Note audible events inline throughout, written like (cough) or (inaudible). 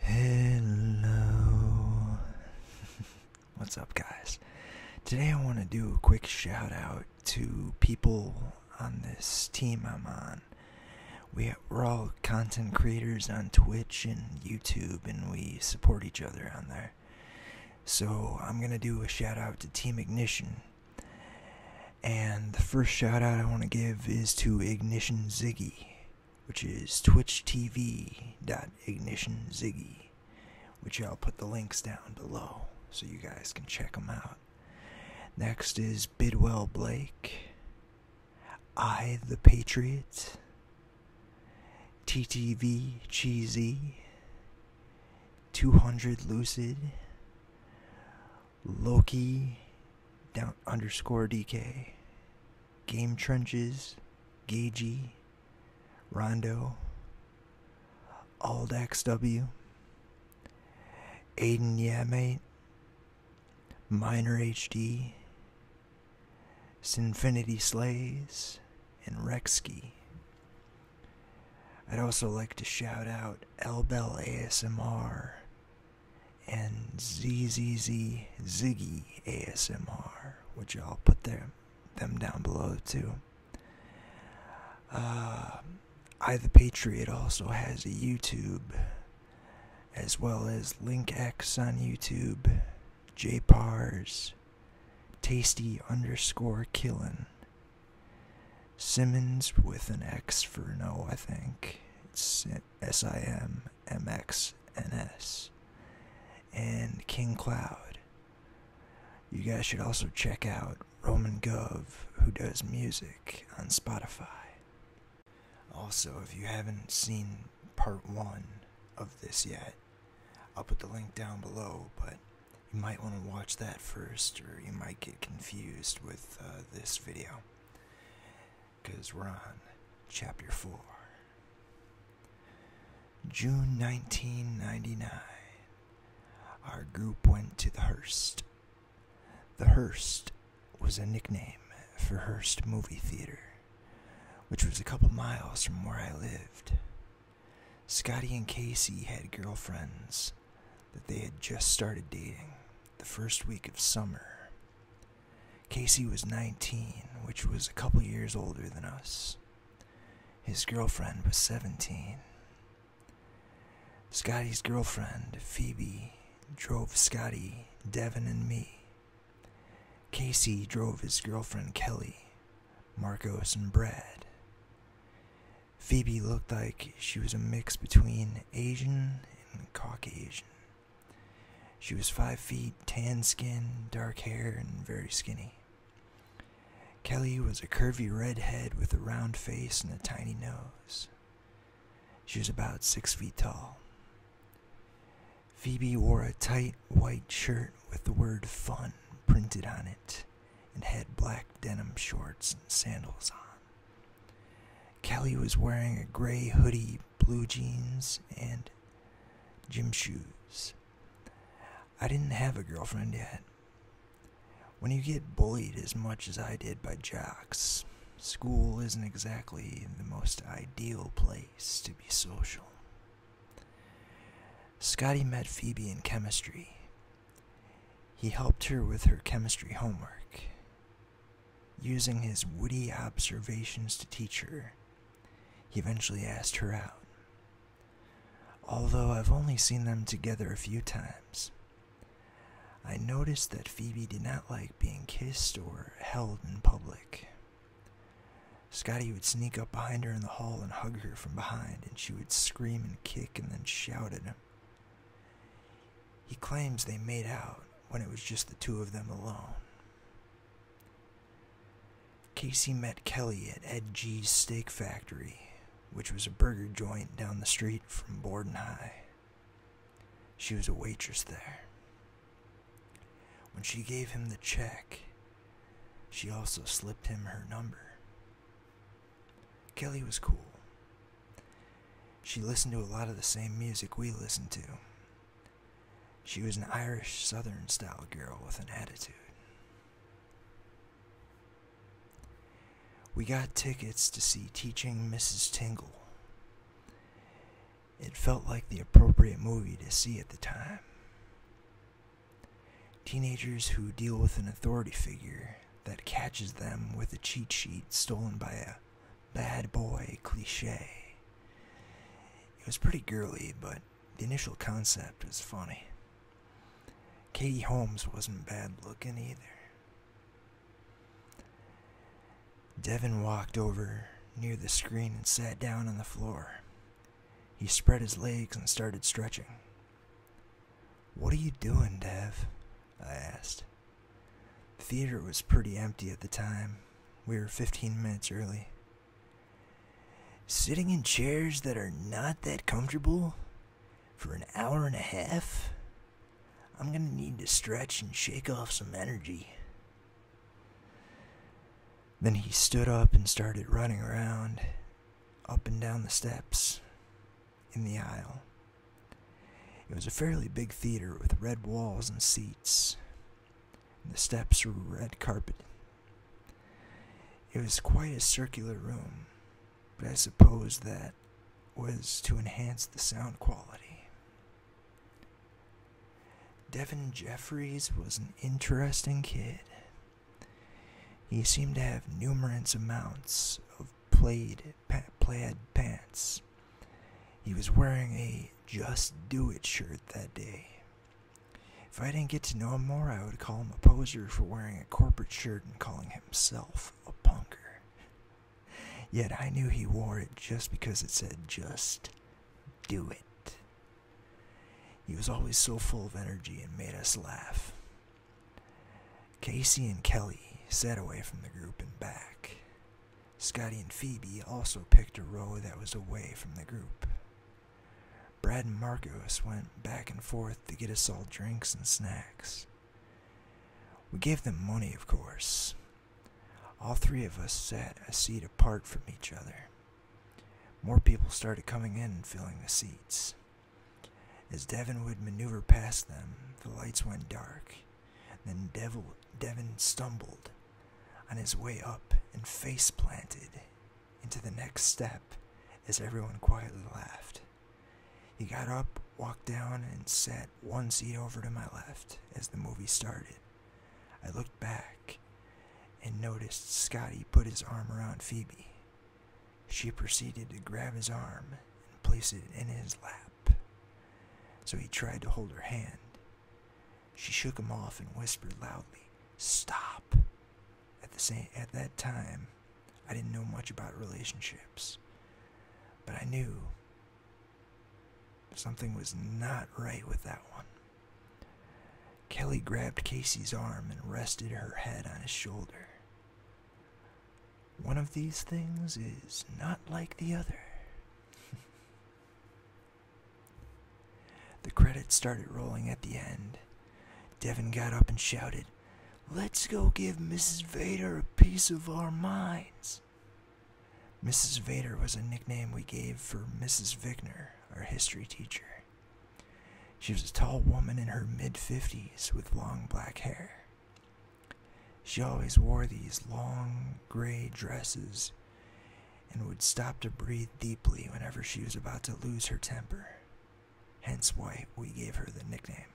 Hello. (laughs) What's up, guys? Today I want to do a quick shout out to people on this team I'm on. We, we're all content creators on Twitch and YouTube, and we support each other on there. So I'm gonna do a shout out to Team Ignition. And the first shout out I want to give is to Ignition Ziggy, which is TwitchTV. twitchtv.ignitionziggy, which I'll put the links down below so you guys can check them out. Next is Bidwell Blake, I the Patriot, TTV Cheesy, 200 Lucid, Loki down underscore DK, Game Trenches, Gagey, Rondo, Aldax W, Aiden Yeah Mate, Minor HD, Sinfinity Slays, and Rexky. I'd also like to shout out Elbel ASMR and ZZZ Ziggy ASMR, which I'll put their, them down below too. Uh, I the Patriot also has a YouTube, as well as LinkX on YouTube, JPARS, Tasty underscore killin. Simmons with an X for no, I think. It's S I M M X N S. And King Cloud. You guys should also check out Roman Gov, who does music on Spotify. Also, if you haven't seen part one of this yet, I'll put the link down below, but you might want to watch that first, or you might get confused with uh, this video. Because we're on Chapter 4. June 1999. Our group went to the Hearst. The Hearst was a nickname for Hearst Movie Theater which was a couple miles from where I lived. Scotty and Casey had girlfriends that they had just started dating the first week of summer. Casey was 19, which was a couple years older than us. His girlfriend was 17. Scotty's girlfriend, Phoebe, drove Scotty, Devin, and me Casey drove his girlfriend Kelly, Marcos, and Brad. Phoebe looked like she was a mix between Asian and Caucasian. She was five feet, tan skin, dark hair, and very skinny. Kelly was a curvy redhead with a round face and a tiny nose. She was about six feet tall. Phoebe wore a tight white shirt with the word fun printed on it and had black denim shorts and sandals on. Kelly was wearing a gray hoodie, blue jeans, and gym shoes. I didn't have a girlfriend yet. When you get bullied as much as I did by jocks, school isn't exactly the most ideal place to be social. Scotty met Phoebe in chemistry. He helped her with her chemistry homework, using his witty observations to teach her. He eventually asked her out. Although I've only seen them together a few times, I noticed that Phoebe did not like being kissed or held in public. Scotty would sneak up behind her in the hall and hug her from behind, and she would scream and kick and then shout at him. He claims they made out when it was just the two of them alone. Casey met Kelly at Ed G's Steak Factory, which was a burger joint down the street from Borden High. She was a waitress there. When she gave him the check, she also slipped him her number. Kelly was cool. She listened to a lot of the same music we listened to. She was an Irish Southern style girl with an attitude. We got tickets to see Teaching Mrs. Tingle. It felt like the appropriate movie to see at the time. Teenagers who deal with an authority figure that catches them with a cheat sheet stolen by a bad boy cliche. It was pretty girly, but the initial concept was funny. Katie Holmes wasn't bad looking either. Devin walked over near the screen and sat down on the floor. He spread his legs and started stretching. What are you doing, Dev? I asked. The theater was pretty empty at the time. We were 15 minutes early. Sitting in chairs that are not that comfortable for an hour and a half? I'm gonna need to stretch and shake off some energy, then he stood up and started running around, up and down the steps, in the aisle. It was a fairly big theater with red walls and seats. And the steps were red carpeted. It was quite a circular room, but I suppose that was to enhance the sound quality. Devin Jeffries was an interesting kid. He seemed to have numerous amounts of plaid, plaid pants. He was wearing a Just Do It shirt that day. If I didn't get to know him more, I would call him a poser for wearing a corporate shirt and calling himself a punker. Yet I knew he wore it just because it said Just do it. He was always so full of energy and made us laugh. Casey and Kelly sat away from the group and back. Scotty and Phoebe also picked a row that was away from the group. Brad and Marcos went back and forth to get us all drinks and snacks. We gave them money, of course. All three of us sat a seat apart from each other. More people started coming in and filling the seats. As Devon would maneuver past them, the lights went dark. Then Devil, Devon stumbled on his way up and face planted into the next step as everyone quietly laughed. He got up, walked down, and sat one seat over to my left as the movie started. I looked back and noticed Scotty put his arm around Phoebe. She proceeded to grab his arm and place it in his lap. So he tried to hold her hand. She shook him off and whispered loudly, Stop! At, the same, at that time, I didn't know much about relationships, but I knew something was not right with that one. Kelly grabbed Casey's arm and rested her head on his shoulder. One of these things is not like the other. the credits started rolling at the end. Devin got up and shouted, Let's go give Mrs. Vader a piece of our minds. Mrs. Vader was a nickname we gave for Mrs. Vickner, our history teacher. She was a tall woman in her mid 50s with long black hair. She always wore these long gray dresses and would stop to breathe deeply whenever she was about to lose her temper, hence why we gave her the nickname.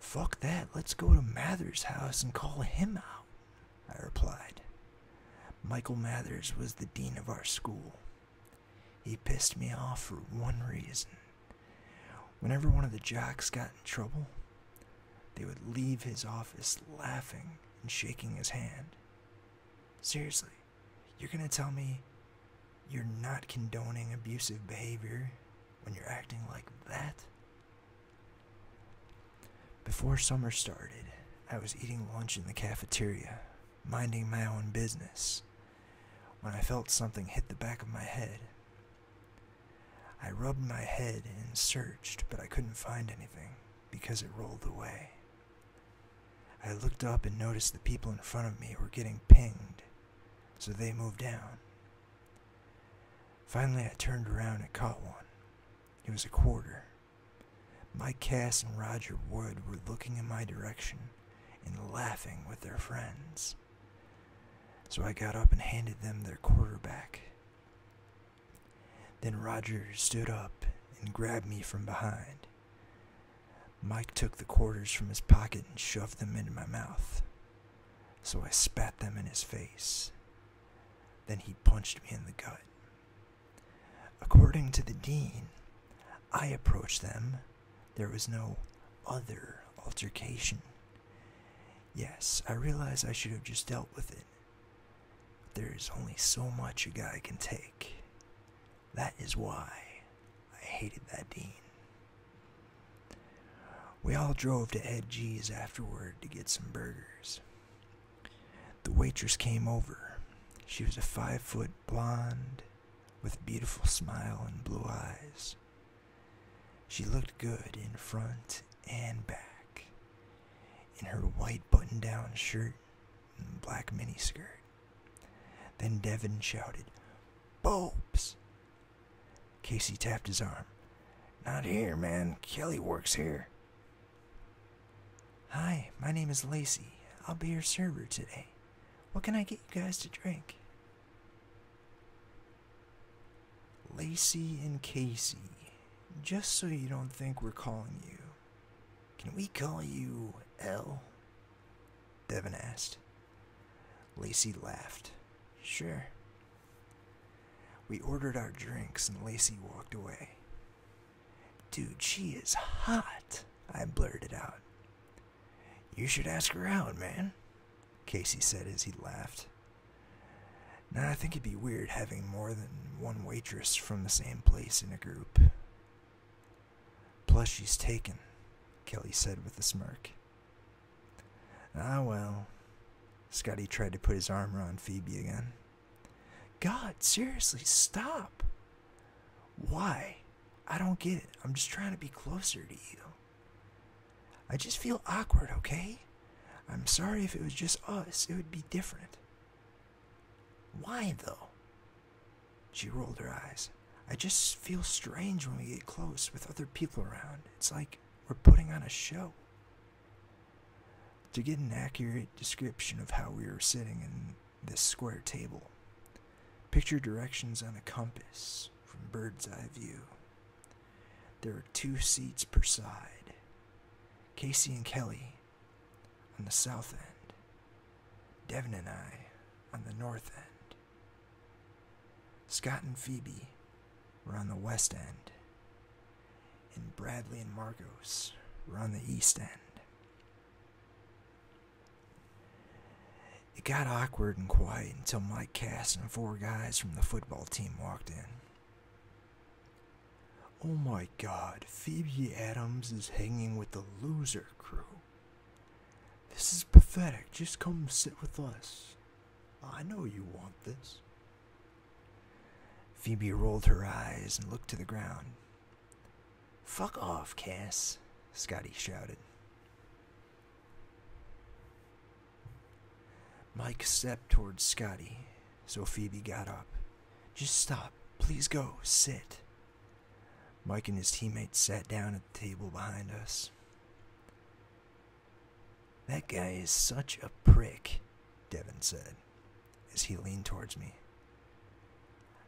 Fuck that, let's go to Mather's house and call him out, I replied. Michael Mathers was the dean of our school. He pissed me off for one reason. Whenever one of the jocks got in trouble, they would leave his office laughing and shaking his hand. Seriously, you're going to tell me you're not condoning abusive behavior when you're acting like that? Before summer started, I was eating lunch in the cafeteria, minding my own business, when I felt something hit the back of my head. I rubbed my head and searched, but I couldn't find anything because it rolled away. I looked up and noticed the people in front of me were getting pinged, so they moved down. Finally, I turned around and caught one. It was a quarter, Mike Cass and Roger Wood were looking in my direction and laughing with their friends. So I got up and handed them their quarterback. Then Roger stood up and grabbed me from behind. Mike took the quarters from his pocket and shoved them into my mouth. So I spat them in his face. Then he punched me in the gut. According to the dean, I approached them. There was no other altercation. Yes, I realize I should have just dealt with it. But there is only so much a guy can take. That is why I hated that dean. We all drove to Ed G's afterward to get some burgers. The waitress came over. She was a five foot blonde with beautiful smile and blue eyes. She looked good in front and back in her white button down shirt and black miniskirt. Then Devin shouted, Bulbs! Casey tapped his arm. Not here, man. Kelly works here. Hi, my name is Lacey. I'll be your server today. What can I get you guys to drink? Lacey and Casey, just so you don't think we're calling you, can we call you L? Devin asked. Lacey laughed. Sure. We ordered our drinks and Lacey walked away. Dude, she is hot, I blurted out. You should ask her out, man, Casey said as he laughed. Now, I think it'd be weird having more than one waitress from the same place in a group. Plus, she's taken, Kelly said with a smirk. Ah, well. Scotty tried to put his arm around Phoebe again. God, seriously, stop. Why? I don't get it. I'm just trying to be closer to you. I just feel awkward, okay? I'm sorry if it was just us, it would be different. Why, though? She rolled her eyes. I just feel strange when we get close with other people around. It's like we're putting on a show to get an accurate description of how we were sitting in this square table. Picture directions on a compass from bird's eye view. There were two seats per side. Casey and Kelly on the south end, Devin and I on the north end. Scott and Phoebe were on the west end, and Bradley and Marcos were on the east end. It got awkward and quiet until Mike Cass and four guys from the football team walked in. Oh my god, Phoebe Adams is hanging with the loser crew. This is pathetic. Just come sit with us. I know you want this. Phoebe rolled her eyes and looked to the ground. Fuck off, Cass, Scotty shouted. Mike stepped towards Scotty, so Phoebe got up. Just stop. Please go. Sit. Mike and his teammates sat down at the table behind us. That guy is such a prick, Devin said as he leaned towards me.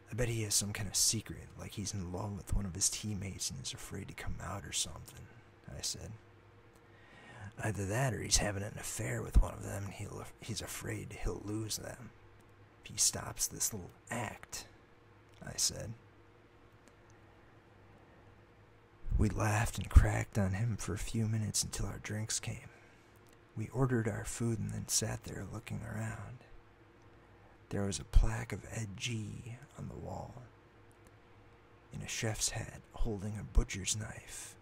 I bet he has some kind of secret, like he's in love with one of his teammates and is afraid to come out or something, I said. Either that or he's having an affair with one of them and he's afraid he'll lose them. If he stops this little act, I said. We laughed and cracked on him for a few minutes until our drinks came. We ordered our food and then sat there looking around. There was a plaque of Ed G on the wall, in a chef's hat holding a butcher's knife,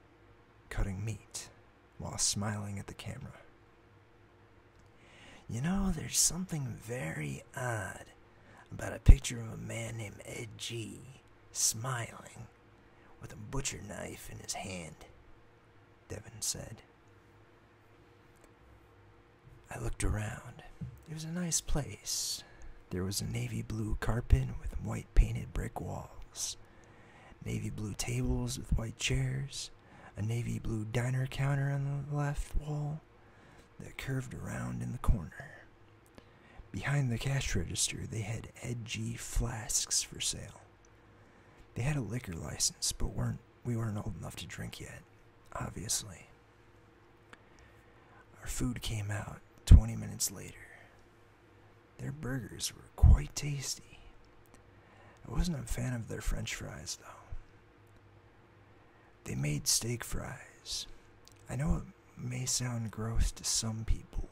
cutting meat while smiling at the camera. You know, there's something very odd about a picture of a man named Ed G smiling with a butcher knife in his hand. Devin said. I looked around. It was a nice place. There was a navy blue carpet with white painted brick walls, navy blue tables with white chairs, a navy blue diner counter on the left wall that curved around in the corner. Behind the cash register, they had edgy flasks for sale. They had a liquor license, but weren't we weren't old enough to drink yet, obviously. Our food came out 20 minutes later. Their burgers were quite tasty. I wasn't a fan of their french fries, though. They made steak fries. I know it may sound gross to some people,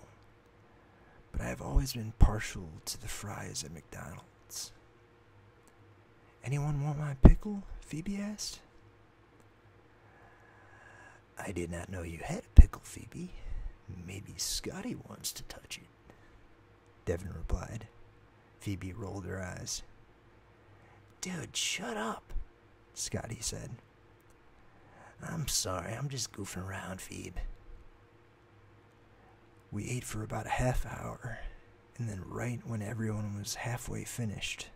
but I have always been partial to the fries at McDonald's. Anyone want my pickle? Phoebe asked. I did not know you had a pickle, Phoebe. Maybe Scotty wants to touch it. Devin replied. Phoebe rolled her eyes. Dude, shut up, Scotty said. I'm sorry, I'm just goofing around, Phoebe. We ate for about a half hour, and then, right when everyone was halfway finished,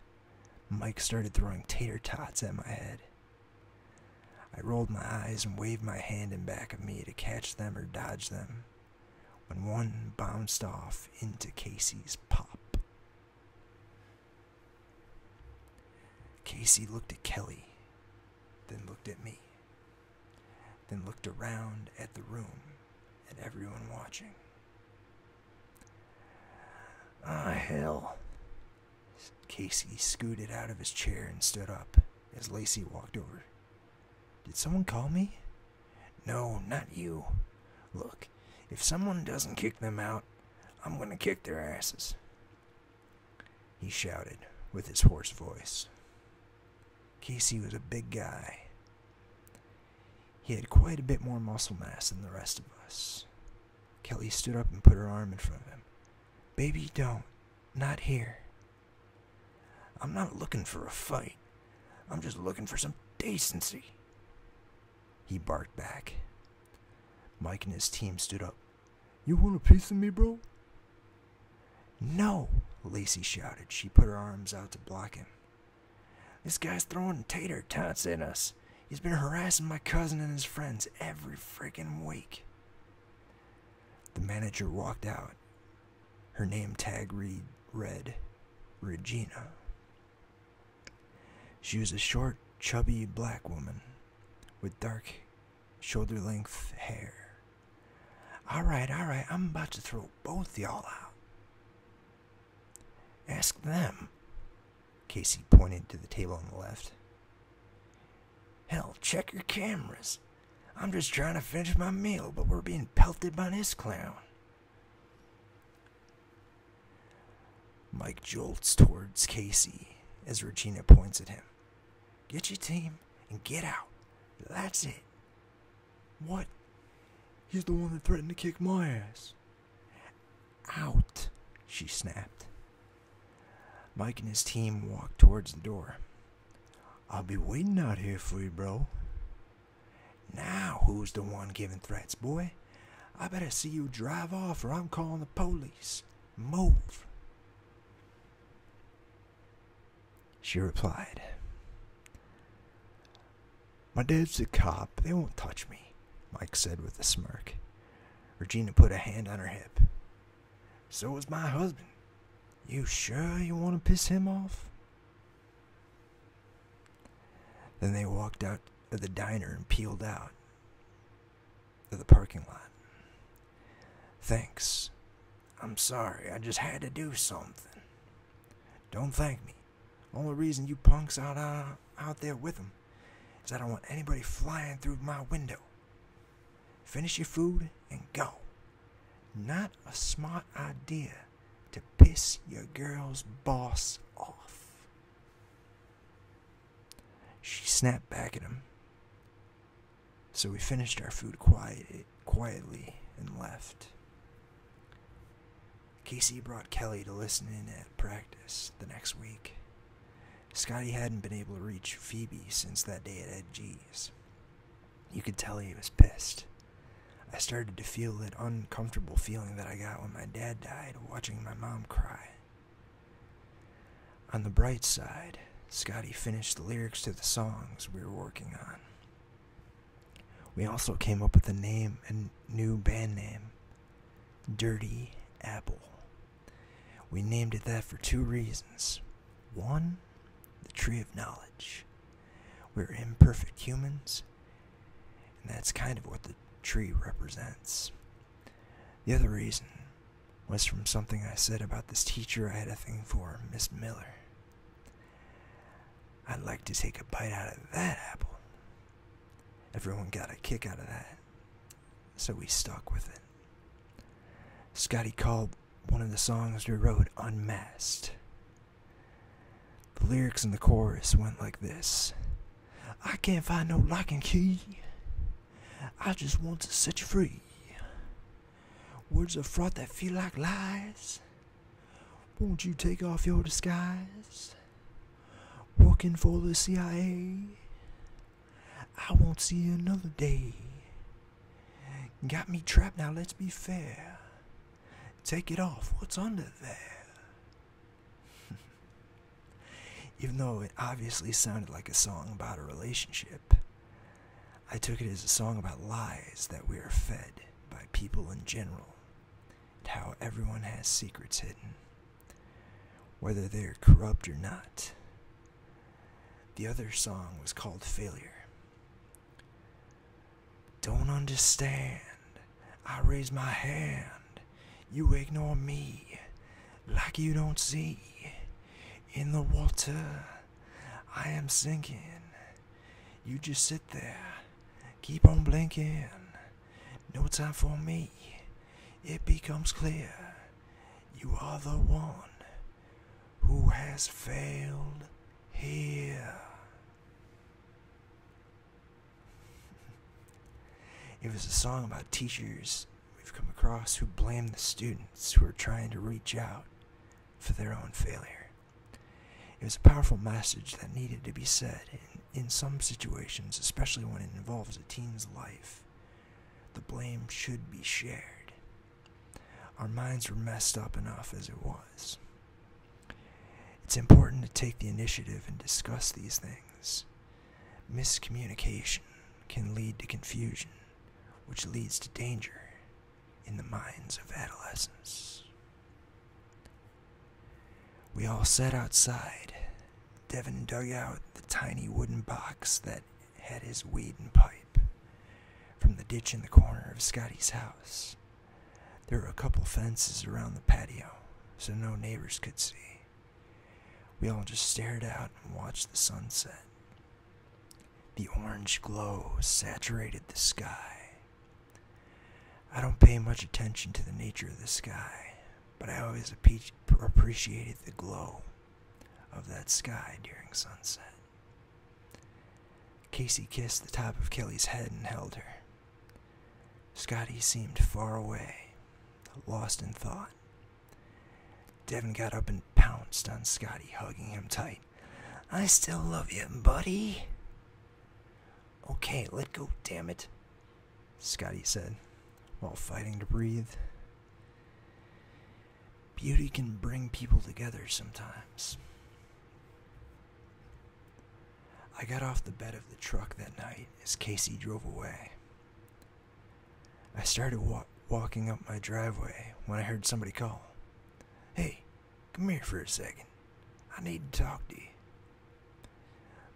Mike started throwing tater tots at my head. I rolled my eyes and waved my hand in back of me to catch them or dodge them, when one bounced off into Casey's pop. Casey looked at Kelly, then looked at me then looked around at the room and everyone watching. Ah, hell. Casey scooted out of his chair and stood up as Lacey walked over. Did someone call me? No, not you. Look, if someone doesn't kick them out, I'm gonna kick their asses. He shouted with his hoarse voice. Casey was a big guy. He had quite a bit more muscle mass than the rest of us. Kelly stood up and put her arm in front of him. Baby, don't. Not here. I'm not looking for a fight. I'm just looking for some decency. He barked back. Mike and his team stood up. You want a piece of me, bro? No, Lacey shouted. She put her arms out to block him. This guy's throwing tater tots at us. He's been harassing my cousin and his friends every freaking week. The manager walked out. Her name tag read Regina. She was a short, chubby black woman with dark, shoulder length hair. Alright, alright, I'm about to throw both y'all out. Ask them. Casey pointed to the table on the left. Hell, check your cameras. I'm just trying to finish my meal, but we're being pelted by this clown. Mike jolts towards Casey as Regina points at him. Get your team and get out. That's it. What? He's the one that threatened to kick my ass. Out, she snapped. Mike and his team walked towards the door. I'll be waiting out here for you, bro. Now, who's the one giving threats, boy? I better see you drive off or I'm calling the police. Move. She replied, My dad's a cop. They won't touch me, Mike said with a smirk. Regina put a hand on her hip. So was my husband. You sure you want to piss him off? Then they walked out of the diner and peeled out of the parking lot. Thanks. I'm sorry, I just had to do something. Don't thank me. Only reason you punks out uh, out there with them is I don't want anybody flying through my window. Finish your food and go. Not a smart idea to piss your girl's boss off. She snapped back at him. So we finished our food quiet, quietly and left. Casey brought Kelly to listen in at practice the next week. Scotty hadn't been able to reach Phoebe since that day at Ed G's. You could tell he was pissed. I started to feel that uncomfortable feeling that I got when my dad died, watching my mom cry. On the bright side, Scotty finished the lyrics to the songs we were working on. We also came up with a name, a new band name, Dirty Apple. We named it that for two reasons. One, the tree of knowledge. We're imperfect humans, and that's kind of what the tree represents. The other reason was from something I said about this teacher I had a thing for, Miss Miller. I'd like to take a bite out of that apple. Everyone got a kick out of that, so we stuck with it. Scotty called one of the songs we wrote Unmasked. The lyrics and the chorus went like this I can't find no lock and key, I just want to set you free. Words of fraud that feel like lies. Won't you take off your disguise? Working for the CIA. I won't see another day. Got me trapped now, let's be fair. Take it off, what's under there? (laughs) Even though it obviously sounded like a song about a relationship. I took it as a song about lies that we are fed by people in general, and how everyone has secrets hidden, whether they're corrupt or not. The other song was called Failure. Don't understand. I raise my hand. You ignore me like you don't see in the water. I am sinking. You just sit there. Keep on blinking. No time for me. It becomes clear. You are the one who has failed here. it was a song about teachers we've come across who blame the students who are trying to reach out for their own failure. It was a powerful message that needed to be said in, some situations, especially when it involves a teen's life. The blame should be shared. Our minds were messed up enough as it was. It's important to take the initiative and discuss these things. Miscommunication can lead to confusion, which leads to danger in the minds of adolescence. We all sat outside. Devon dug out the tiny wooden box that had his weed and pipe from the ditch in the corner of Scotty's house. There were a couple fences around the patio, so no neighbors could see. We all just stared out and watched the sunset. The orange glow saturated the sky. I don't pay much attention to the nature of the sky, but I always appreciated the glow of that sky during sunset. Casey kissed the top of Kelly's head and held her. Scotty seemed far away, lost in thought. Devin got up and pounced on Scotty, hugging him tight. I still love you, buddy. Okay, let go, damn it, Scotty said, while fighting to breathe. Beauty can bring people together sometimes. I got off the bed of the truck that night as Casey drove away. I started walking up my driveway when I heard somebody call, Hey, Come here for a second. I need to talk to you.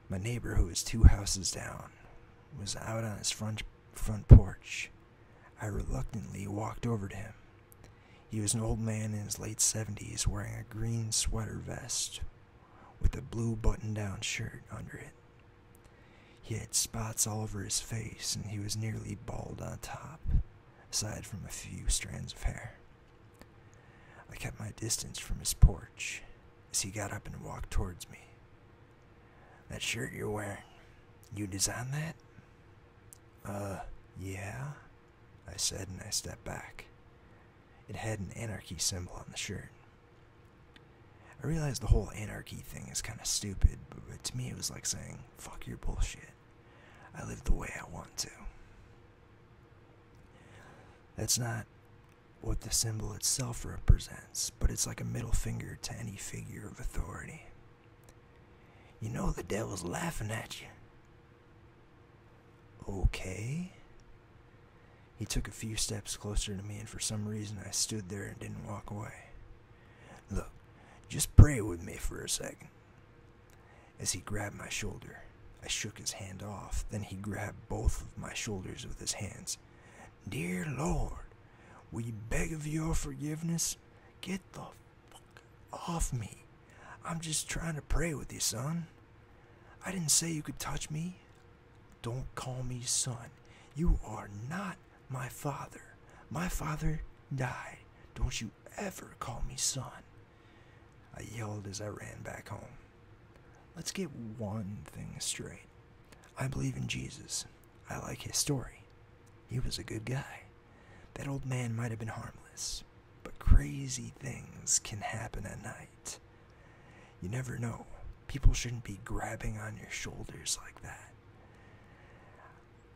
My neighbor, who was two houses down, was out on his front, front porch. I reluctantly walked over to him. He was an old man in his late 70s wearing a green sweater vest with a blue button down shirt under it. He had spots all over his face and he was nearly bald on top aside from a few strands of hair. I kept my distance from his porch as he got up and walked towards me. That shirt you're wearing, you designed that? Uh, yeah, I said, and I stepped back. It had an anarchy symbol on the shirt. I realized the whole anarchy thing is kind of stupid, but to me it was like saying, fuck your bullshit. I live the way I want to. That's not what the symbol itself represents, but it's like a middle finger to any figure of authority. You know the devil's laughing at you. Okay. He took a few steps closer to me, and for some reason I stood there and didn't walk away. Look, just pray with me for a second. As he grabbed my shoulder, I shook his hand off. Then he grabbed both of my shoulders with his hands. Dear Lord, we beg of your forgiveness. Get the fuck off me. I'm just trying to pray with you, son. I didn't say you could touch me. Don't call me son. You are not my father. My father died. Don't you ever call me son? I yelled as I ran back home. Let's get one thing straight. I believe in Jesus. I like his story. He was a good guy. That old man might have been harmless, but crazy things can happen at night. You never know. People shouldn't be grabbing on your shoulders like that.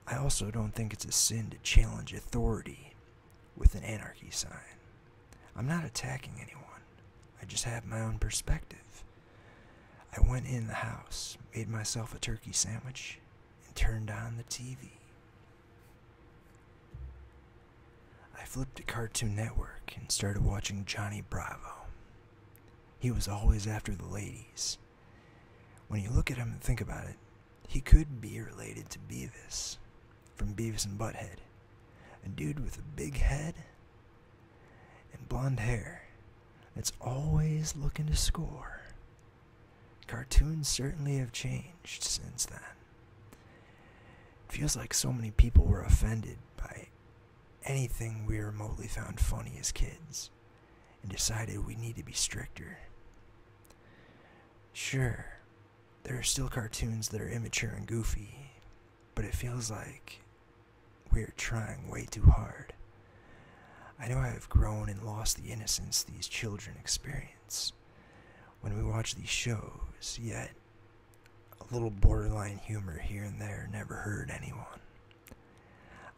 I also don't think it's a sin to challenge authority with an anarchy sign. I'm not attacking anyone, I just have my own perspective. I went in the house, made myself a turkey sandwich, and turned on the TV. I flipped to Cartoon Network and started watching Johnny Bravo. He was always after the ladies. When you look at him and think about it, he could be related to Beavis from Beavis and Butthead. A dude with a big head and blonde hair that's always looking to score. Cartoons certainly have changed since then. It feels like so many people were offended by anything we remotely found funny as kids and decided we need to be stricter. Sure, there are still cartoons that are immature and goofy, but it feels like we're trying way too hard. I know I have grown and lost the innocence these children experience when we watch these shows, yet a little borderline humor here and there never hurt anyone.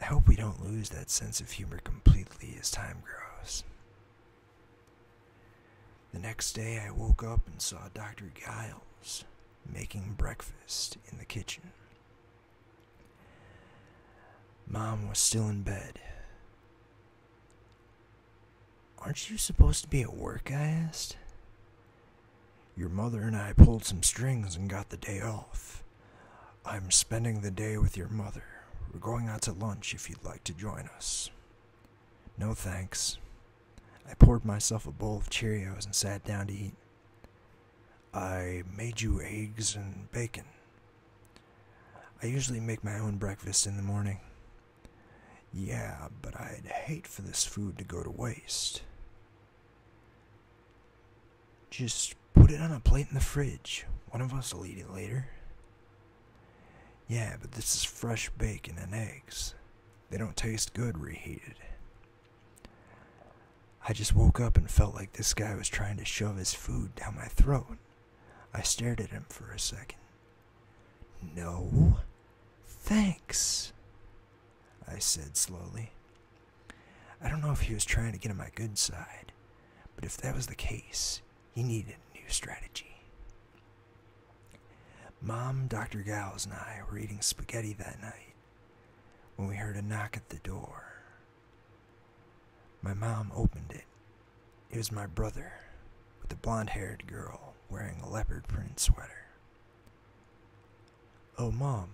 I hope we don't lose that sense of humor completely as time grows. The next day I woke up and saw Dr. Giles making breakfast in the kitchen. Mom was still in bed. Aren't you supposed to be at work? I asked. Your mother and I pulled some strings and got the day off. I'm spending the day with your mother. We're going out to lunch if you'd like to join us. No thanks. I poured myself a bowl of Cheerios and sat down to eat. I made you eggs and bacon. I usually make my own breakfast in the morning. Yeah, but I'd hate for this food to go to waste. Just put it on a plate in the fridge. One of us will eat it later. Yeah, but this is fresh bacon and eggs. They don't taste good reheated. I just woke up and felt like this guy was trying to shove his food down my throat. I stared at him for a second. No, thanks, I said slowly. I don't know if he was trying to get on my good side, but if that was the case, he needed a new strategy. Mom, Dr. Gals, and I were eating spaghetti that night when we heard a knock at the door. My mom opened it. It was my brother with a blond haired girl wearing a leopard print sweater. Oh, Mom,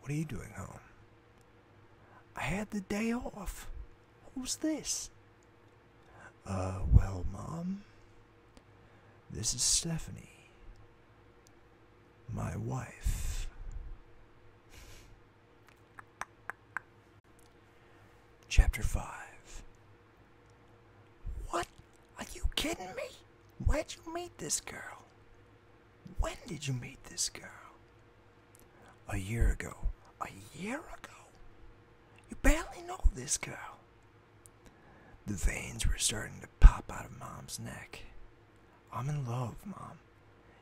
what are you doing home? I had the day off. Who's this? Uh, well, Mom, this is Stephanie, my wife. Chapter 5 What? Are you kidding me? Where'd you meet this girl? When did you meet this girl? A year ago. A year ago? You barely know this girl. The veins were starting to pop out of Mom's neck. I'm in love, Mom.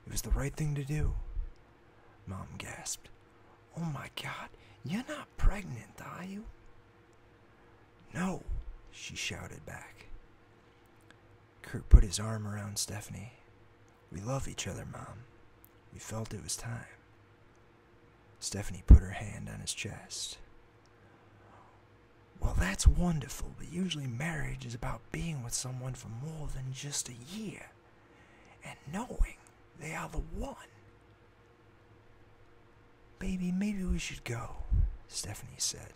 It was the right thing to do. Mom gasped. Oh my god, you're not pregnant, are you? No, she shouted back. Kurt put his arm around Stephanie. We love each other, Mom. We felt it was time. Stephanie put her hand on his chest. Well, that's wonderful, but usually marriage is about being with someone for more than just a year and knowing they are the one. Baby, maybe we should go, Stephanie said.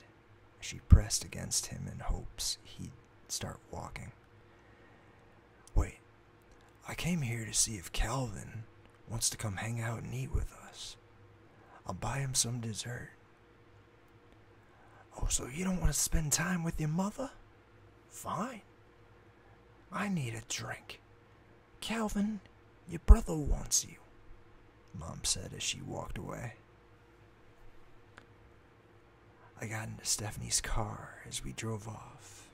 as She pressed against him in hopes he'd start walking. Wait, I came here to see if Calvin wants to come hang out and eat with us. I'll buy him some dessert. Oh, so you don't want to spend time with your mother? Fine. I need a drink. Calvin, your brother wants you, Mom said as she walked away. I got into Stephanie's car as we drove off.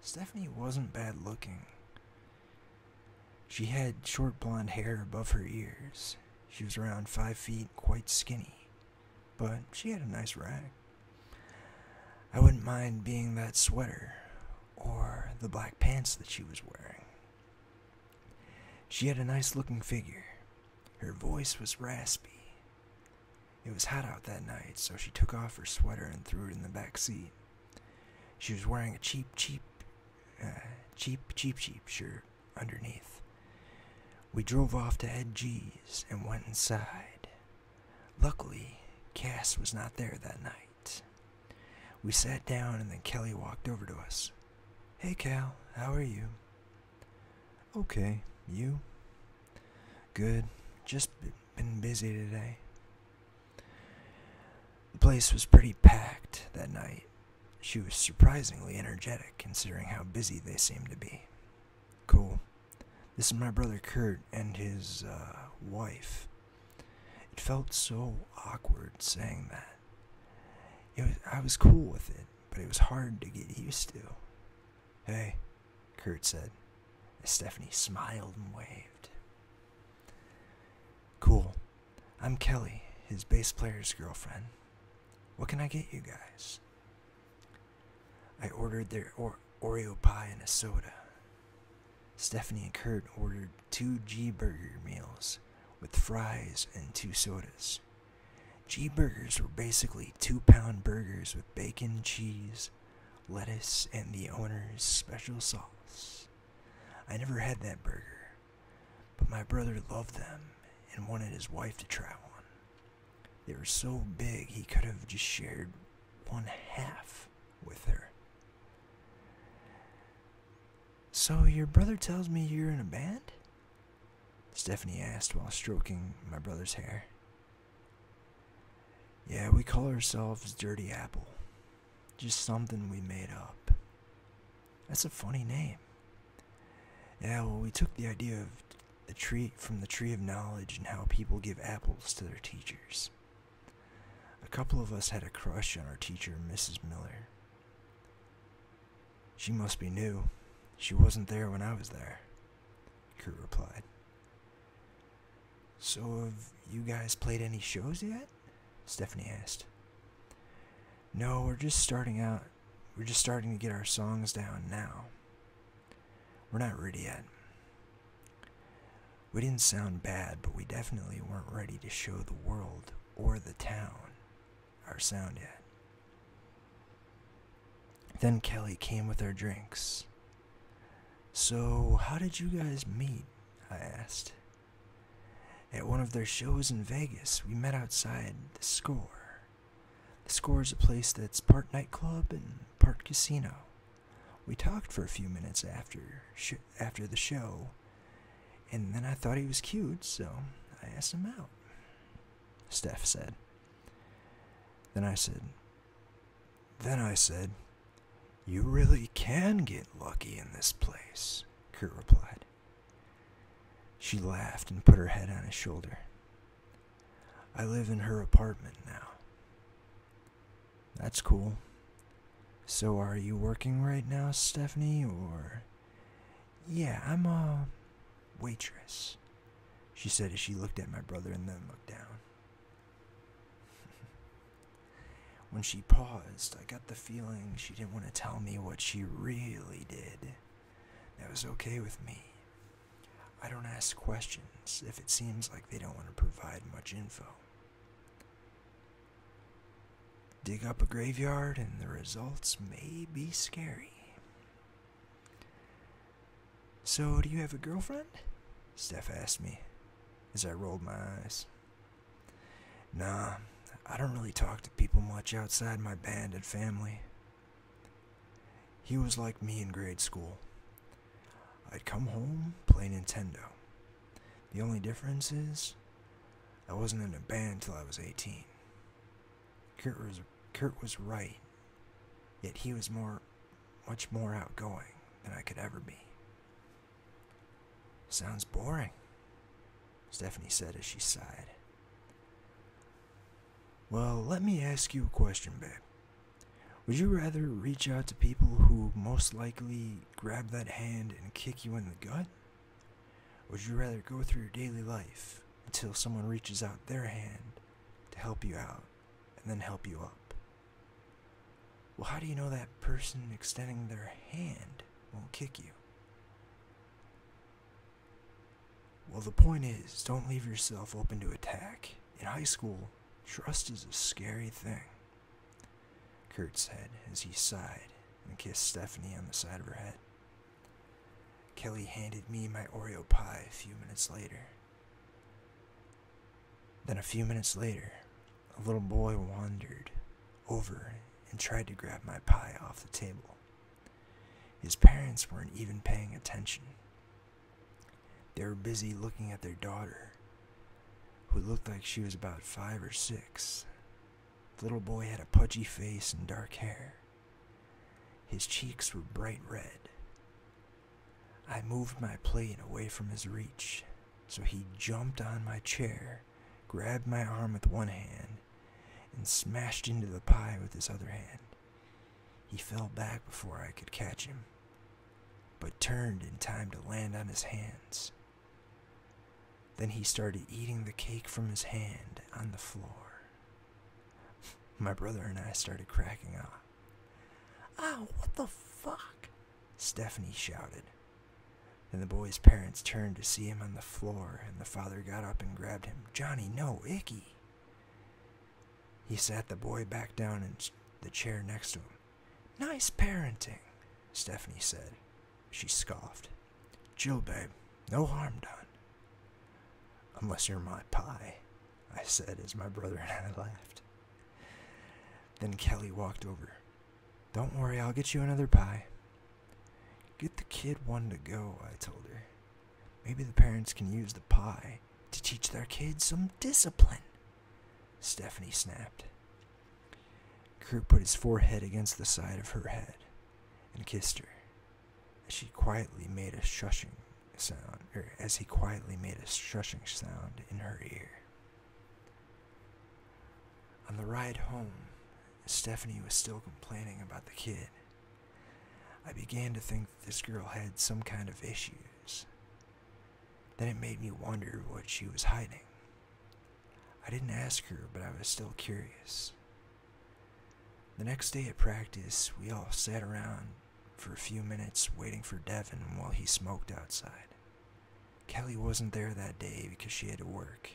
Stephanie wasn't bad looking. She had short blonde hair above her ears. She was around five feet, quite skinny, but she had a nice rack. I wouldn't mind being that sweater or the black pants that she was wearing. She had a nice looking figure. Her voice was raspy. It was hot out that night, so she took off her sweater and threw it in the back seat. She was wearing a cheap, cheap, uh, cheap, cheap, cheap shirt underneath. We drove off to Ed G's and went inside. Luckily, Cass was not there that night. We sat down and then Kelly walked over to us. Hey Cal, how are you? Okay, you? Good. Just been busy today. The place was pretty packed that night. She was surprisingly energetic considering how busy they seemed to be. Cool. This is my brother Kurt and his uh, wife. It felt so awkward saying that. I was cool with it, but it was hard to get used to. Hey, Kurt said, as Stephanie smiled and waved. Cool. I'm Kelly, his bass player's girlfriend. What can I get you guys? I ordered their Oreo pie and a soda. Stephanie and Kurt ordered two G Burger meals with fries and two sodas. G Burgers were basically two pound burgers with bacon, cheese, lettuce, and the owner's special sauce. I never had that burger, but my brother loved them and wanted his wife to try one. They were so big he could have just shared one half with her. So, your brother tells me you're in a band? Stephanie asked while stroking my brother's hair. Yeah, we call ourselves Dirty Apple. Just something we made up. That's a funny name. Yeah, well, we took the idea of the tree from the tree of knowledge and how people give apples to their teachers. A couple of us had a crush on our teacher, Mrs. Miller. She must be new. She wasn't there when I was there, Kurt replied. So, have you guys played any shows yet? Stephanie asked. No, we're just starting out. We're just starting to get our songs down now. We're not ready yet. We didn't sound bad, but we definitely weren't ready to show the world or the town our sound yet. Then Kelly came with our drinks. So, how did you guys meet? I asked. At one of their shows in Vegas, we met outside the score. The score is a place that's part nightclub and part casino. We talked for a few minutes after after the show, and then I thought he was cute, so I asked him out. Steph said. Then I said, then I said, You really can get lucky in this place, Kurt replied. She laughed and put her head on his shoulder. I live in her apartment now. That's cool. So are you working right now, Stephanie, or... Yeah, I'm a waitress, she said as she looked at my brother and then looked down. (laughs) when she paused, I got the feeling she didn't want to tell me what she really did. That was okay with me. I don't ask questions if it seems like they don't want to provide much info. Dig up a graveyard and the results may be scary. So, do you have a girlfriend? Steph asked me as I rolled my eyes. Nah, I don't really talk to people much outside my band and family. He was like me in grade school. I'd come home, play Nintendo. The only difference is, I wasn't in a band till I was 18. Kurt was, Kurt was right, yet he was more much more outgoing than I could ever be. Sounds boring, Stephanie said as she sighed. Well, let me ask you a question, babe. Would you rather reach out to people who most likely grab that hand and kick you in the gut? Would you rather go through your daily life until someone reaches out their hand to help you out and then help you up? Well, how do you know that person extending their hand won't kick you? Well, the point is, don't leave yourself open to attack. In high school, trust is a scary thing, Kurt said as he sighed and kissed Stephanie on the side of her head. Kelly handed me my Oreo pie a few minutes later. Then a few minutes later, a little boy wandered over and tried to grab my pie off the table. His parents weren't even paying attention. They were busy looking at their daughter, who looked like she was about five or six. The little boy had a pudgy face and dark hair. His cheeks were bright red, I moved my plate away from his reach, so he jumped on my chair, grabbed my arm with one hand, and smashed into the pie with his other hand. He fell back before I could catch him, but turned in time to land on his hands. Then he started eating the cake from his hand on the floor. (laughs) My brother and I started cracking up. Oh, what the fuck? Stephanie shouted. And the boy's parents turned to see him on the floor, and the father got up and grabbed him. Johnny, no, Icky. He sat the boy back down in the chair next to him. Nice parenting, Stephanie said. She scoffed. Jill, babe. No harm done. Unless you're my pie, I said as my brother and I laughed. Then Kelly walked over. Don't worry, I'll get you another pie. Get the kid one to go, I told her. Maybe the parents can use the pie to teach their kids some discipline. Stephanie snapped. Kurt put his forehead against the side of her head and kissed her as she quietly made a shushing sound, as he quietly made a shushing sound in her ear. On the ride home, Stephanie was still complaining about the kid. I began to think this girl had some kind of issues. Then it made me wonder what she was hiding. I didn't ask her, but I was still curious. The next day at practice, we all sat around for a few minutes waiting for Devin while he smoked outside. Kelly wasn't there that day because she had to work.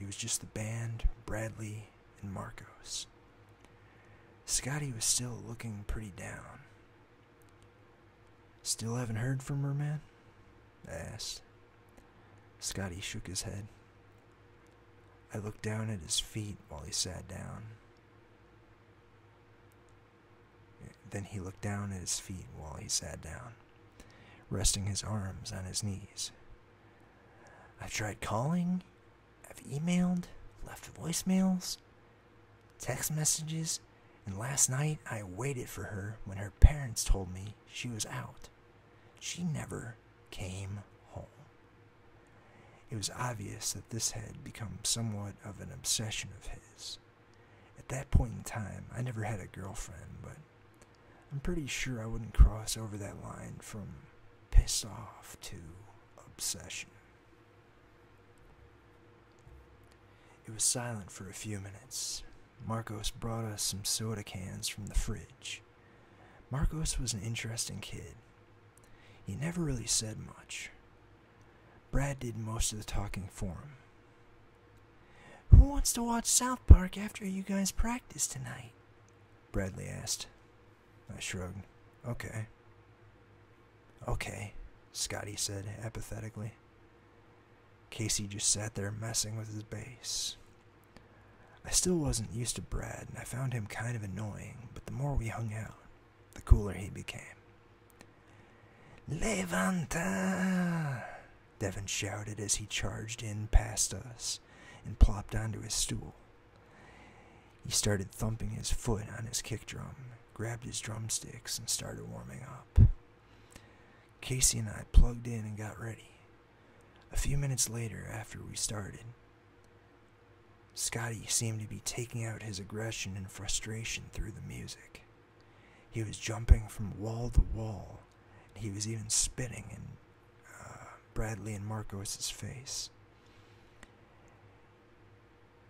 It was just the band, Bradley, and Marcos. Scotty was still looking pretty down. Still haven't heard from her, man? I asked. Scotty shook his head. I looked down at his feet while he sat down. Then he looked down at his feet while he sat down, resting his arms on his knees. I've tried calling, I've emailed, left voicemails, text messages, and last night I waited for her when her parents told me she was out. She never came home. It was obvious that this had become somewhat of an obsession of his. At that point in time, I never had a girlfriend, but I'm pretty sure I wouldn't cross over that line from pissed off to obsession. It was silent for a few minutes. Marcos brought us some soda cans from the fridge. Marcos was an interesting kid. He never really said much. Brad did most of the talking for him. Who wants to watch South Park after you guys practice tonight? Bradley asked. I shrugged. Okay. Okay, Scotty said apathetically. Casey just sat there messing with his bass. I still wasn't used to Brad, and I found him kind of annoying, but the more we hung out, the cooler he became. Levanta! Devon shouted as he charged in past us and plopped onto his stool. He started thumping his foot on his kick drum, grabbed his drumsticks, and started warming up. Casey and I plugged in and got ready. A few minutes later, after we started, Scotty seemed to be taking out his aggression and frustration through the music. He was jumping from wall to wall, and he was even spitting in uh, Bradley and Marcos's face.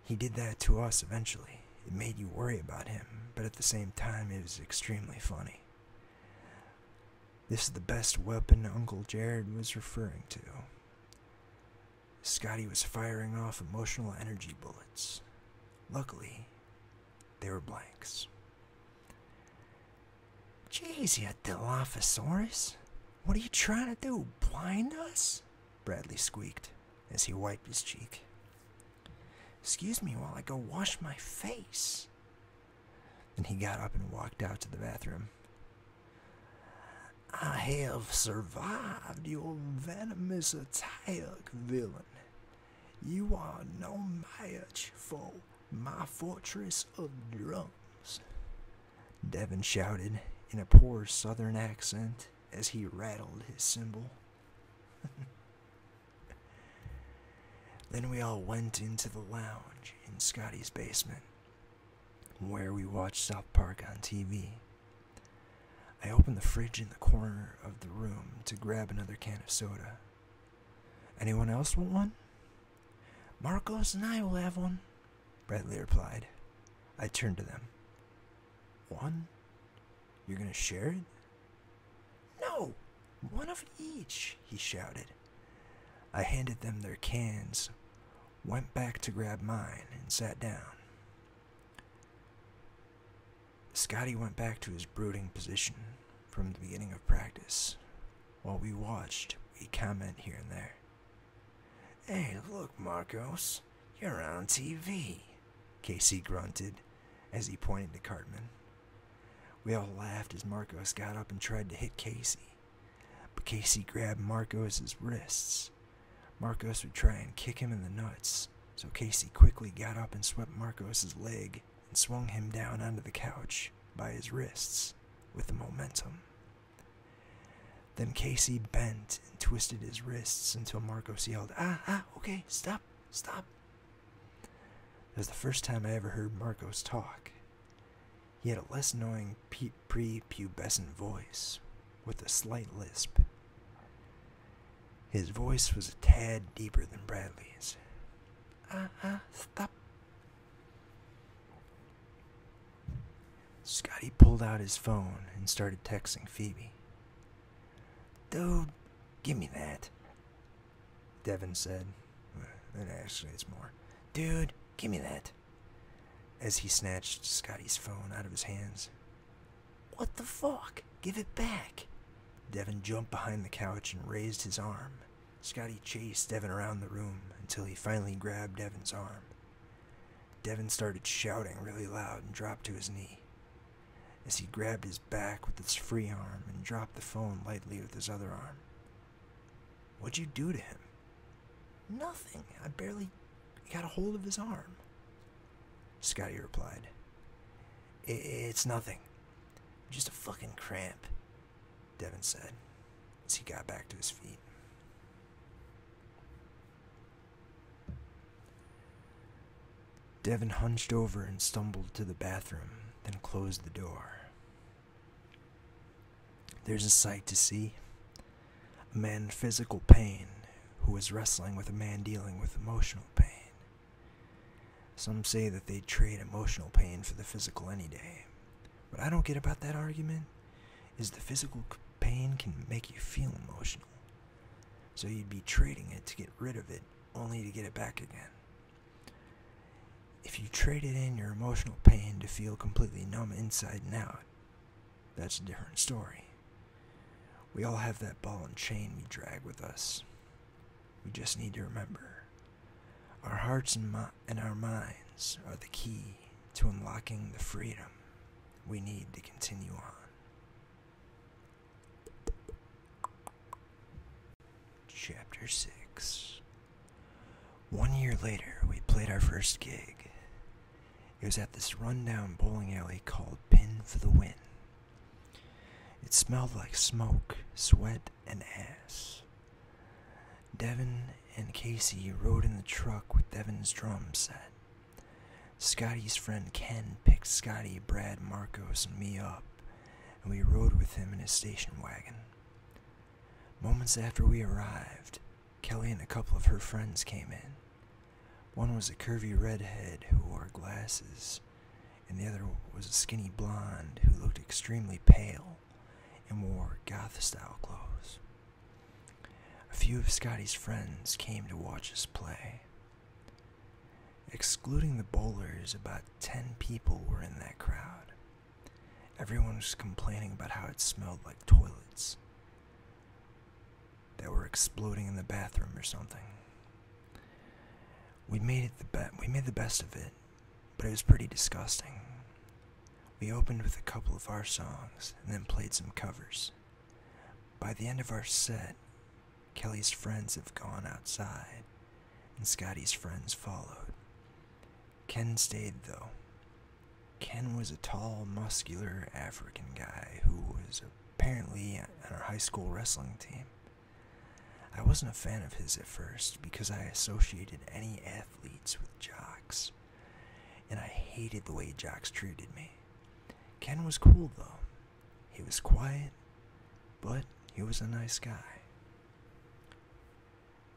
He did that to us eventually. It made you worry about him, but at the same time, it was extremely funny. This is the best weapon Uncle Jared was referring to. Scotty was firing off emotional energy bullets. Luckily, they were blanks. Jeez, you Dilophosaurus. What are you trying to do, blind us? Bradley squeaked as he wiped his cheek. Excuse me while I go wash my face. Then he got up and walked out to the bathroom. I have survived your venomous attack, villain. You are no match for my fortress of drums. Devon shouted in a poor southern accent as he rattled his cymbal. (laughs) then we all went into the lounge in Scotty's basement, where we watched South Park on TV. I opened the fridge in the corner of the room to grab another can of soda. Anyone else want one? Marcos and I will have one, Bradley replied. I turned to them. One? You're gonna share it? No! One of each, he shouted. I handed them their cans, went back to grab mine, and sat down. Scotty went back to his brooding position from the beginning of practice. While we watched, we commented here and there. Hey, look, Marcos, you're on TV, Casey grunted as he pointed to Cartman. We all laughed as Marcos got up and tried to hit Casey, but Casey grabbed Marcos's wrists Marcos would try and kick him in the nuts, so Casey quickly got up and swept Marcos's leg and swung him down onto the couch by his wrists with the momentum. Then Casey bent and twisted his wrists until Marcos yelled, Ah, ah, okay, stop, stop. It was the first time I ever heard Marcos talk. He had a less annoying pre-pubescent voice, with a slight lisp. His voice was a tad deeper than Bradley's. Uh uh, stop. Scotty pulled out his phone and started texting Phoebe. Dude, give me that. Devin said. "That actually, it's more. Dude, give me that. As he snatched Scotty's phone out of his hands. What the fuck? Give it back. Devin jumped behind the couch and raised his arm. Scotty chased Devin around the room until he finally grabbed Devin's arm. Devin started shouting really loud and dropped to his knee. As he grabbed his back with his free arm and dropped the phone lightly with his other arm. What'd you do to him? Nothing. I barely got a hold of his arm. Scotty replied. It's nothing. Just a fucking cramp, Devin said as he got back to his feet. Devin hunched over and stumbled to the bathroom, then closed the door. There's a sight to see, a man in physical pain who is wrestling with a man dealing with emotional pain. Some say that they'd trade emotional pain for the physical any day. What I don't get about that argument is the physical pain can make you feel emotional. So you'd be trading it to get rid of it, only to get it back again. If you traded in your emotional pain to feel completely numb inside and out, that's a different story. We all have that ball and chain we drag with us. We just need to remember our hearts and, and our minds are the key to unlocking the freedom we need to continue on. Chapter 6 One year later, we played our first gig. It was at this rundown bowling alley called Pin for the Win. It smelled like smoke, sweat, and ass. Devin and Casey rode in the truck with Devin's drum set. Scotty's friend Ken picked Scotty, Brad, Marcos, and me up, and we rode with him in his station wagon. Moments after we arrived, Kelly and a couple of her friends came in. One was a curvy redhead who wore glasses, and the other was a skinny blonde who looked extremely pale and wore goth style clothes. A few of Scotty's friends came to watch us play. Excluding the bowlers, about ten people were in that crowd. Everyone was complaining about how it smelled like toilets that were exploding in the bathroom or something. We made it the be we made the best of it, but it was pretty disgusting. We opened with a couple of our songs and then played some covers. By the end of our set, Kelly's friends have gone outside, and Scotty's friends followed. Ken stayed though. Ken was a tall, muscular African guy who was a apparently on our high school wrestling team. I wasn't a fan of his at first because I associated any athletes with jocks, and I hated the way jocks treated me. Ken was cool though. He was quiet, but he was a nice guy.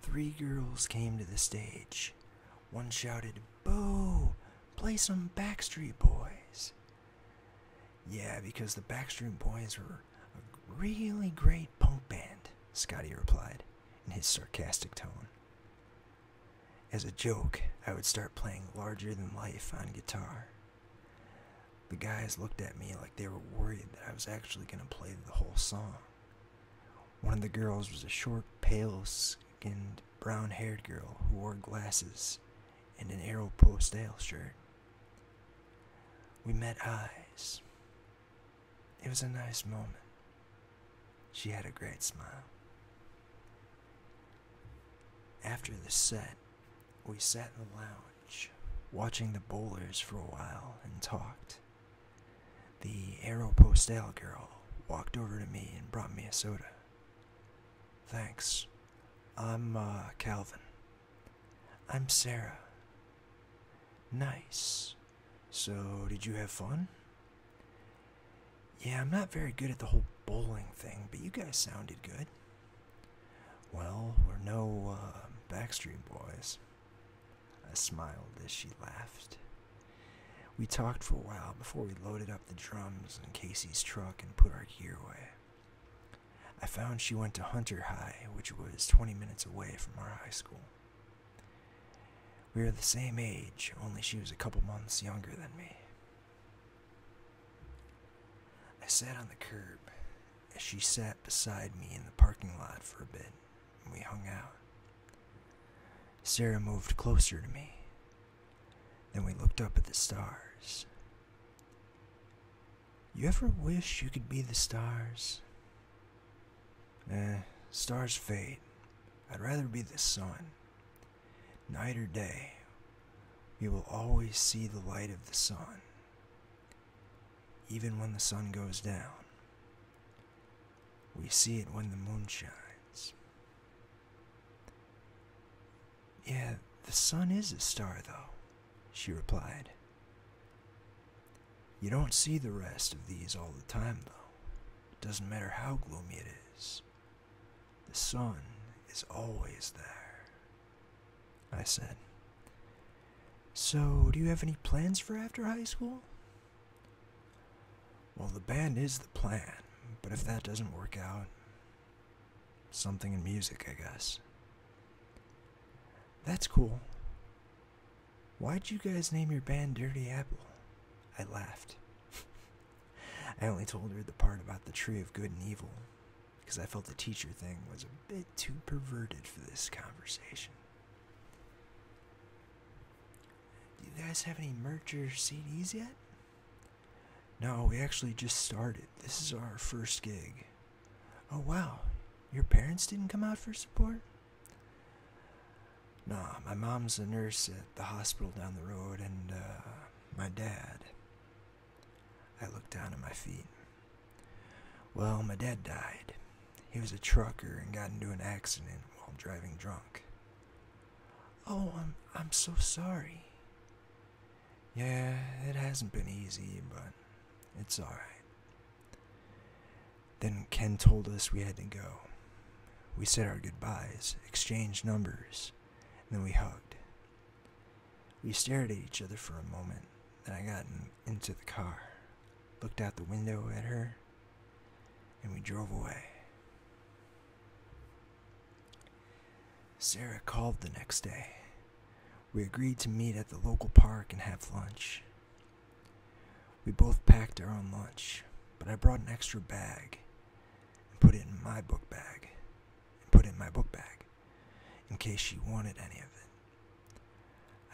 Three girls came to the stage. One shouted, Boo! Play some Backstreet Boys. Yeah, because the Backstreet Boys were a really great punk band, Scotty replied in his sarcastic tone. As a joke, I would start playing Larger Than Life on guitar. The guys looked at me like they were worried that I was actually going to play the whole song. One of the girls was a short, pale skinned brown haired girl who wore glasses and an Aeropostale shirt. We met eyes. It was a nice moment. She had a great smile. After the set, we sat in the lounge, watching the bowlers for a while and talked. The Aeropostale girl walked over to me and brought me a soda. Thanks. I'm uh, Calvin. I'm Sarah. Nice. So, did you have fun? Yeah, I'm not very good at the whole bowling thing, but you guys sounded good. Well, we're no uh, Backstreet Boys. I smiled as she laughed. We talked for a while before we loaded up the drums in Casey's truck and put our gear away. I found she went to Hunter High, which was 20 minutes away from our high school. We were the same age, only she was a couple months younger than me. I sat on the curb as she sat beside me in the parking lot for a bit, and we hung out. Sarah moved closer to me, then we looked up at the stars. You ever wish you could be the stars? Eh, stars fade. I'd rather be the sun. Night or day, we will always see the light of the sun, even when the sun goes down. We see it when the moon shines. Yeah, the sun is a star, though, she replied. You don't see the rest of these all the time, though. It doesn't matter how gloomy it is. The sun is always there, I said. So, do you have any plans for after high school? Well, the band is the plan, but if that doesn't work out, something in music, I guess. That's cool. Why'd you guys name your band Dirty Apple? I laughed. (laughs) I only told her the part about the tree of good and evil, because I felt the teacher thing was a bit too perverted for this conversation. Do you guys have any merch or CDs yet? No, we actually just started. This is our first gig. Oh, wow. Your parents didn't come out for support? Nah, my mom's a nurse at the hospital down the road, and uh, my dad. I looked down at my feet. Well, my dad died. He was a trucker and got into an accident while driving drunk. Oh, I'm, I'm so sorry. Yeah, it hasn't been easy, but it's alright. Then Ken told us we had to go. We said our goodbyes, exchanged numbers, and then we hugged. We stared at each other for a moment, then I got into the car, looked out the window at her, and we drove away. Sarah called the next day. We agreed to meet at the local park and have lunch. We both packed our own lunch, but I brought an extra bag and put it in my book bag and put it in my book bag in case she wanted any of it.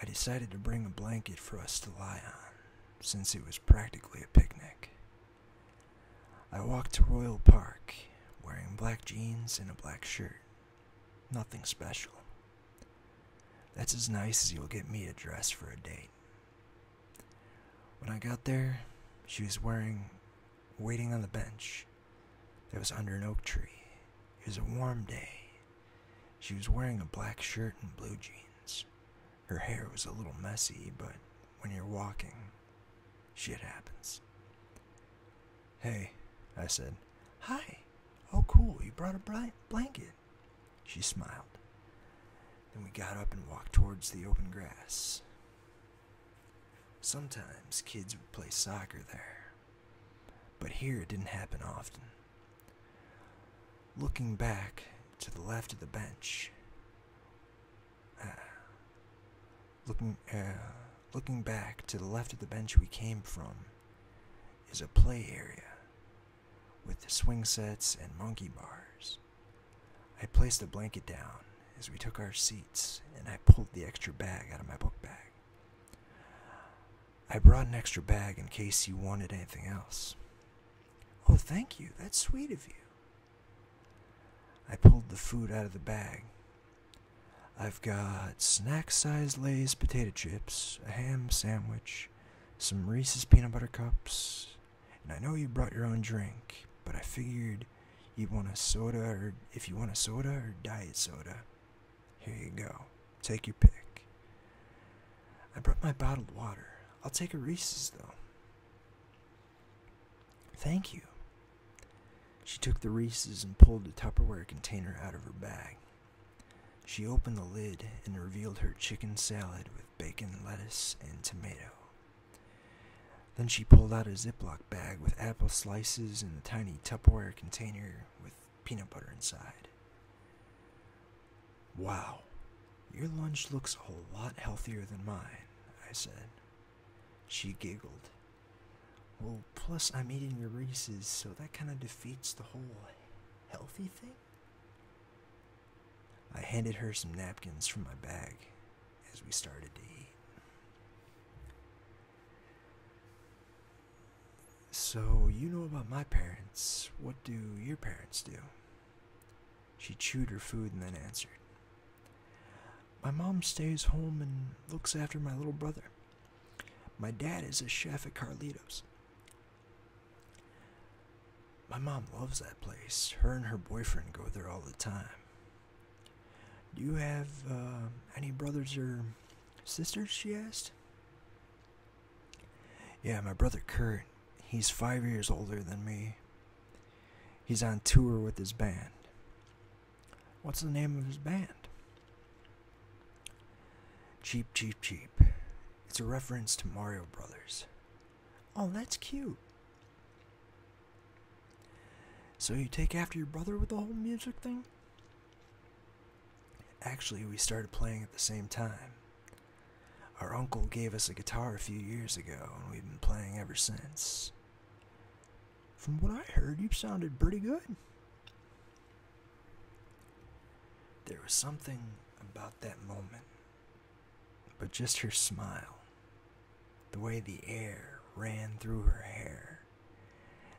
I decided to bring a blanket for us to lie on since it was practically a picnic. I walked to Royal Park wearing black jeans and a black shirt. Nothing special. That's as nice as you'll get me a dress for a date. When I got there, she was wearing, waiting on the bench It was under an oak tree. It was a warm day. She was wearing a black shirt and blue jeans. Her hair was a little messy, but when you're walking, Shit happens. Hey, I said. Hi. Oh, cool. You brought a bright blanket. She smiled. Then we got up and walked towards the open grass. Sometimes kids would play soccer there, but here it didn't happen often. Looking back to the left of the bench uh, looking, uh, looking back to the left of the bench we came from is a play area with the swing sets and monkey bars. I placed a blanket down as we took our seats and I pulled the extra bag out of my book bag. I brought an extra bag in case you wanted anything else. Oh, thank you. That's sweet of you, I pulled the food out of the bag. I've got snack sized Lay's potato chips, a ham sandwich, some Reese's peanut butter cups, and I know you brought your own drink, but I figured you'd want a soda or if you want a soda or diet soda. Here you go. Take your pick. I brought my bottled water. I'll take a Reese's though. Thank you. She took the Reese's and pulled a Tupperware container out of her bag. She opened the lid and revealed her chicken salad with bacon, lettuce, and tomato. Then she pulled out a Ziploc bag with apple slices and a tiny Tupperware container with peanut butter inside. Wow, your lunch looks a lot healthier than mine, I said. She giggled. Well, plus I'm eating your Reese's, so that kind of defeats the whole healthy thing? I handed her some napkins from my bag as we started to eat. So, you know about my parents. What do your parents do? She chewed her food and then answered. My mom stays home and looks after my little brother. My dad is a chef at Carlitos. My mom loves that place. Her and her boyfriend go there all the time. Do you have uh, any brothers or sisters? She asked. Yeah, my brother Kurt. He's five years older than me. He's on tour with his band. What's the name of his band? Cheap, cheap, cheap. It's a reference to Mario Brothers. Oh, that's cute. So you take after your brother with the whole music thing? Actually, we started playing at the same time. Our uncle gave us a guitar a few years ago, and we've been playing ever since. From what I heard, you sounded pretty good. There was something about that moment, but just her smile, the way the air ran through her hair,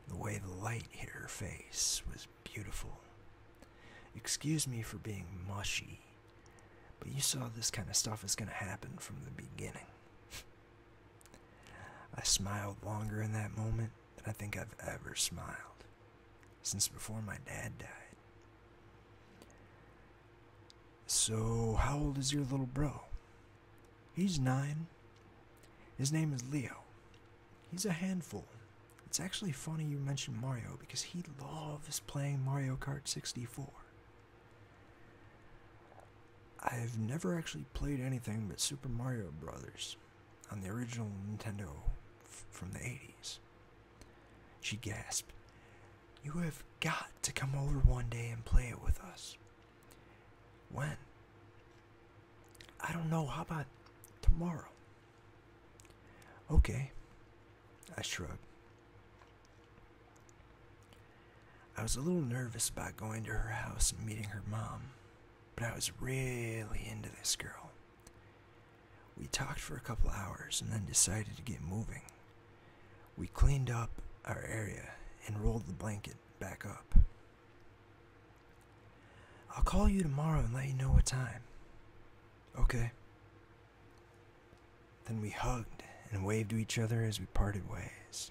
the way the light hit her face was beautiful. Excuse me for being mushy, but you saw this kind of stuff is going to happen from the beginning. (laughs) I smiled longer in that moment than I think I've ever smiled since before my dad died. So, how old is your little bro? He's nine. His name is Leo. He's a handful. It's actually funny you mentioned Mario because he loves playing Mario Kart 64. I've never actually played anything but Super Mario Brothers on the original Nintendo from the 80s. She gasped, You have got to come over one day and play it with us. When? I don't know. How about tomorrow? Okay. I shrugged. I was a little nervous about going to her house and meeting her mom, but I was really into this girl. We talked for a couple hours and then decided to get moving. We cleaned up our area and rolled the blanket back up. I'll call you tomorrow and let you know what time. Okay. Then we hugged and waved to each other as we parted ways.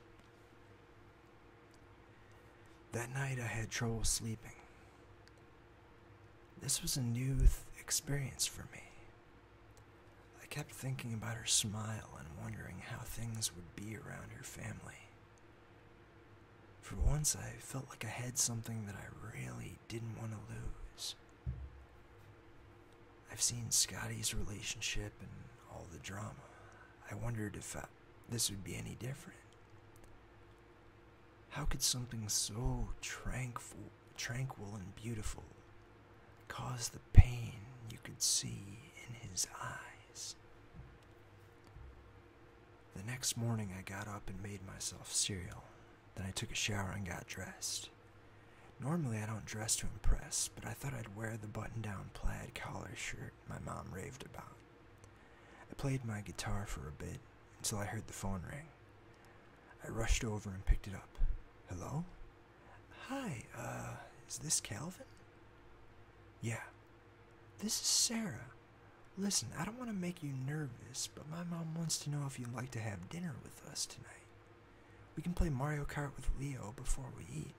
That night I had trouble sleeping. This was a new experience for me. I kept thinking about her smile and wondering how things would be around her family. For once, I felt like I had something that I really didn't want to lose. I've seen Scotty's relationship and all the drama. I wondered if uh, this would be any different. How could something so tranquil, tranquil and beautiful cause the pain you could see in his eyes? The next morning, I got up and made myself cereal. Then I took a shower and got dressed. Normally, I don't dress to impress, but I. I thought I'd wear the button down plaid collar shirt my mom raved about. I played my guitar for a bit until I heard the phone ring. I rushed over and picked it up. Hello? Hi, uh, is this Calvin? Yeah. This is Sarah. Listen, I don't want to make you nervous, but my mom wants to know if you'd like to have dinner with us tonight. We can play Mario Kart with Leo before we eat.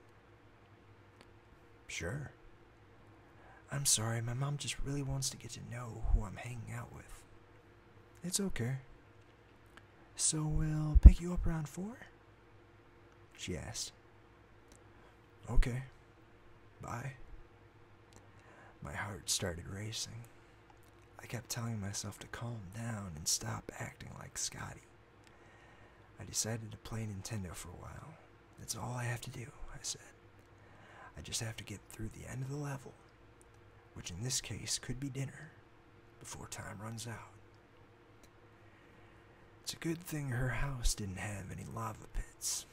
Sure. I'm sorry, my mom just really wants to get to know who I'm hanging out with. It's okay. So we'll pick you up around four? She asked. Okay. Bye. My heart started racing. I kept telling myself to calm down and stop acting like Scotty. I decided to play Nintendo for a while. That's all I have to do, I said. I just have to get through the end of the level, which in this case could be dinner, before time runs out. It's a good thing her house didn't have any lava pits.